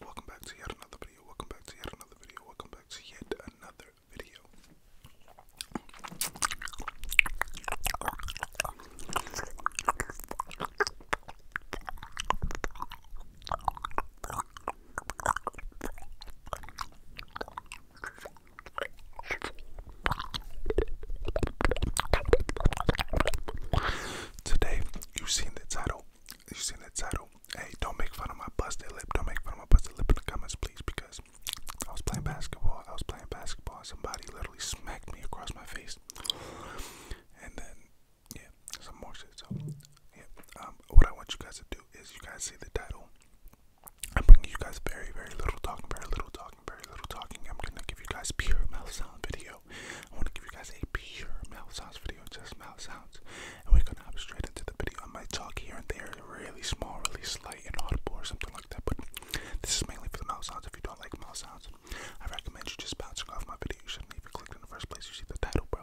Welcome back to yet another video. Welcome back to yet another video. Welcome back to yet another video. Today, you've seen the title you seen the title. Hey, don't make fun of my busted lip. Don't make fun of my busted lip in the comments, please, because I was playing basketball. I was playing basketball, and somebody literally smacked me across my face. And then, yeah, some more shit. So, yeah, um, what I want you guys to do is you guys see the title. I'm bringing you guys very, very little talking, very little talking, very little talking. I'm gonna give you guys pure mouth sound video video. I want to give you guys a pure mouth sounds video, just mouth sounds. And we're gonna hop straight into the video. I might talk here and there, really small, really slight, inaudible or something like that. But this is mainly for the mouth sounds. If you don't like mouth sounds, I recommend you just bouncing off my video. You shouldn't even click in the first place. You see the title, bro.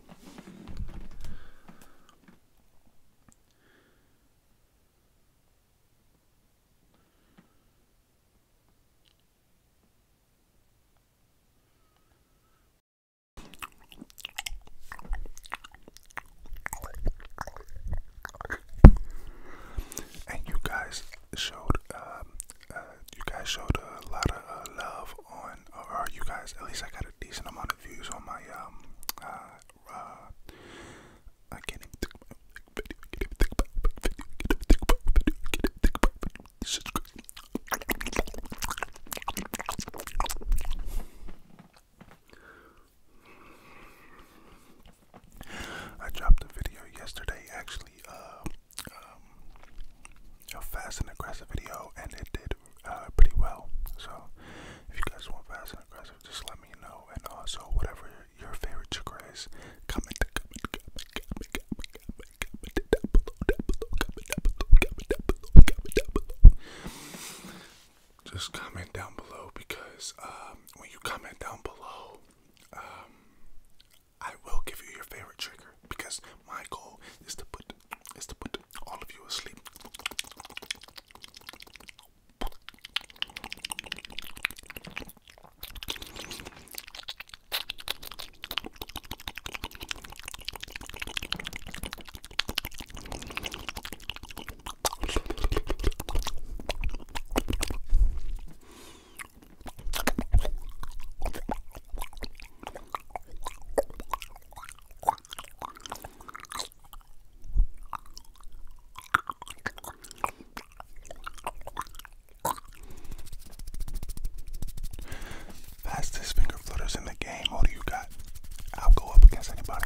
And you guys showed, um, uh, you guys showed a lot of uh, love on ton of, or you guys, at least I got a decent amount of views on my, um, uh, uh I can't even think about video, can't even think about video, can't even think about video, can't even think about video, this is crazy. I dropped a video yesterday, actually, uh, um, a fast and aggressive video, and it did uh, pretty well. So if you guys want fast and aggressive, just let me know. And also, whatever your favorite chakra is, comment, comment, comment, comment, comment, comment, comment down below, down below, comment down below, comment down below, comment down below. Just comment down below because um, when you comment down below, um, I will give you your favorite trigger because my goal is to put point is to put all of you asleep. Fastest finger flutters in the game. What do you got? I'll go up against anybody.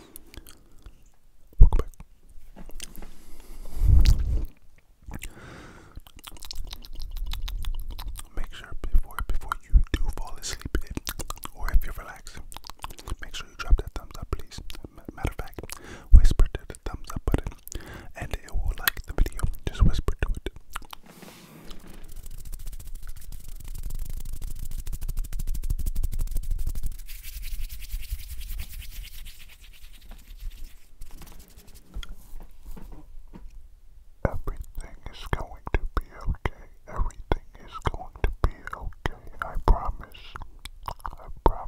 Welcome Make sure before before you do fall asleep, or if you're relaxed, make sure you drop that thumbs up, please. Matter of fact, whisper to the thumbs up button, and it will like the video. Just whisper to it. Everything is going to be okay. Everything is going to be okay. I promise. I promise.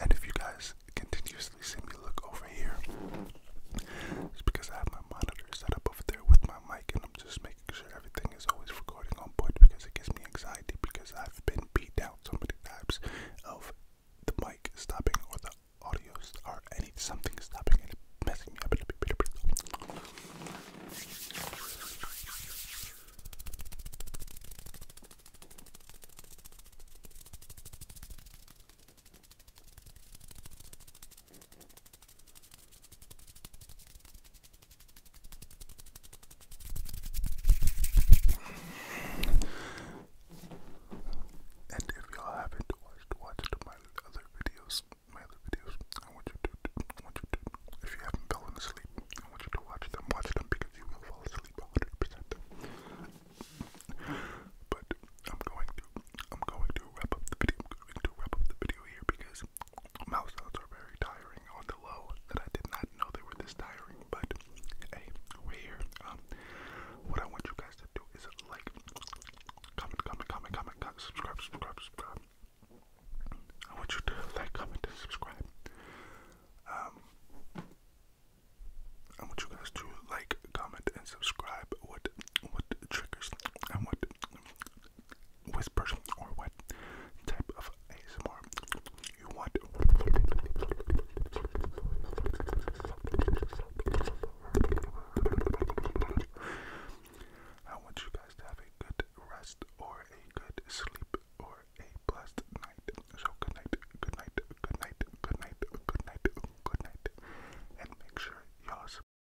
And if you guys continuously see me look over here, it's because I have my monitor set up over there with my mic, and I'm just making making sure everything is always recording on point because it gives me anxiety because I've been beat down so many times of the mic stopping or the audio or any something stopping and messing me up. And if y'all haven't watched my other videos, my other videos, I want you to, I want you to, if you haven't fallen asleep, I want you to watch them, watch them because you will fall asleep 100%. But I'm going to, I'm going to wrap up the video, I'm going to wrap up the video here because Mouse sounds are very tiring on the low that I did not know they were this tiring, but hey, we here. Um, what I want you guys to do is like, comment, comment, comment, comment, subscribe, subscribe, subscribe. I want you to like, comment, and subscribe. Um, I want you guys to like, comment, and subscribe. What, what triggers? I want Whispering or what type of ASMR you want. I want you guys to have a good rest or a good sleep or a blessed night. So good night, good night, good night, good night, good night, good night, and make sure y'all.